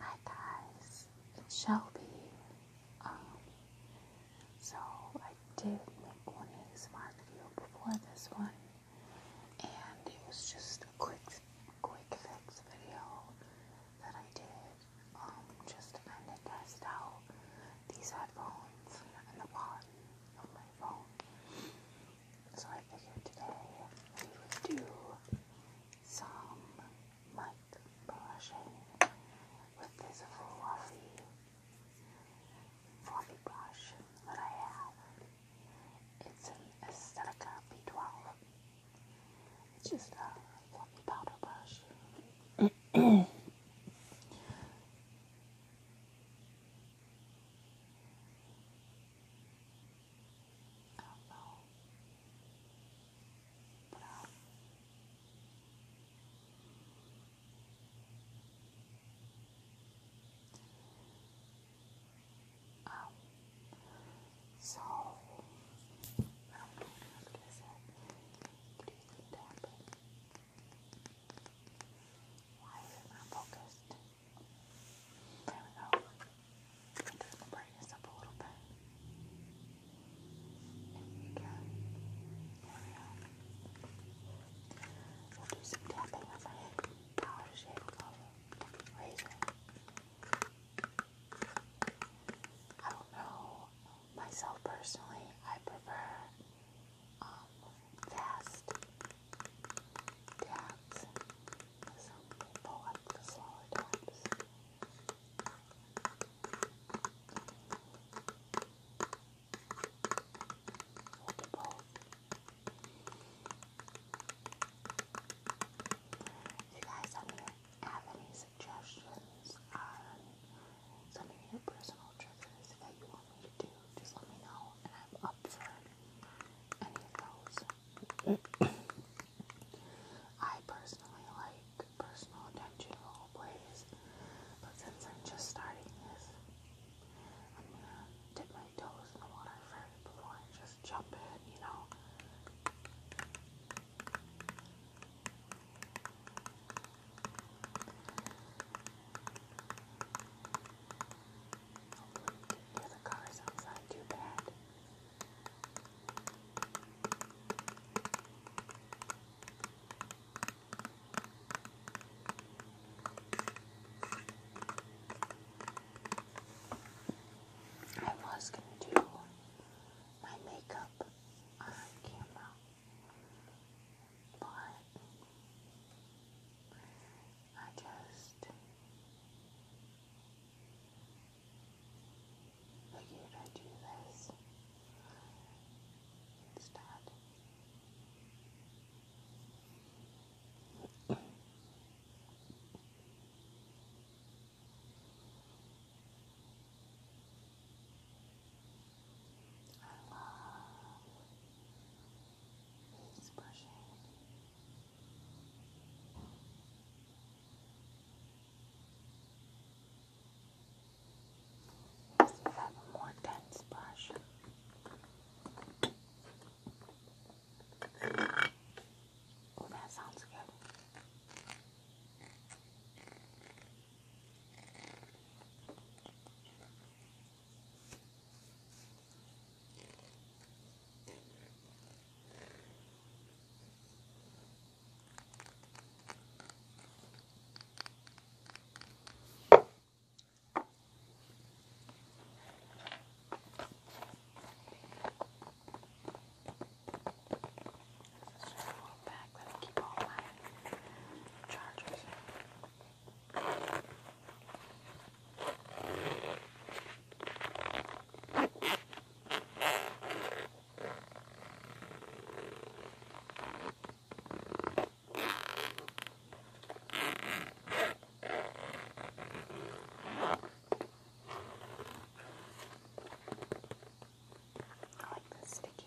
Hi guys, it's Shelby. Um, so I did make one ASMR video before this one, and it was just a quick, quick fix video that I did, um, just to kind of test out these headphones and the quality of my phone. So I figured today we would do some might brush with this fluffy, fluffy brush that I have. It's an Aesthetica B12. It's just a fluffy powder brush. I um, so I don't know what I was gonna you Why is it not focused? There we go. I'm just this up a little bit. There we go. We'll do some tapping with my powder shape color razor. I don't know myself personally. I prefer fast taps some people like the slower times. We'll You guys, have any suggestions on some of your personal triggers that you want me to do. Just let me know, and I'm up for any of those. I personally like personal attention role plays, but since I'm just starting this, I'm gonna dip my toes in the water first before I just jump in, you know the cars outside too bad. I was gonna do my makeup on camera, but I just figured I'd do this instead. I love just brushing. Just have a more dense brush. Oh, that sounds good. This is just a little bag that I keep all my chargers in. I like the sticky.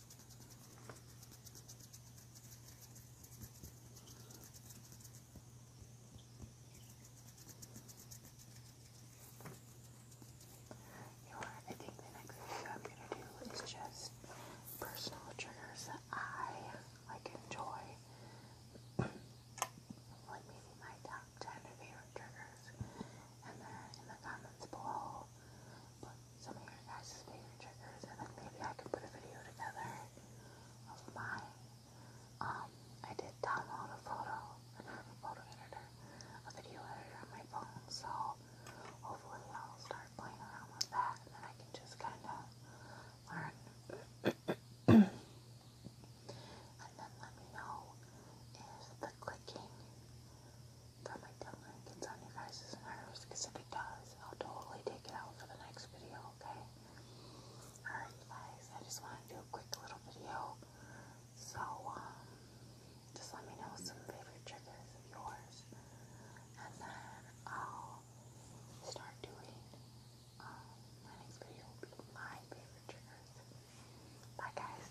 You I think the next video I'm gonna do is just personal triggers that I like enjoy. like maybe my top ten favorite triggers. And then in the comments below some of your guys' favorite triggers, and then maybe I can put a video together of mine. Um, I did download a photo, a photo editor, a video editor on my phone, so hopefully I'll start playing around with that, and then I can just kind of learn. and then let me know if the clicking got my tongue ring you guys' nerves, because if it does, I'll totally take it out for the next video, okay? Alright guys, I just want to do a quick little video, so just let me know some favorite triggers of yours, and then I'll start doing, my next video will be my favorite triggers. Bye guys!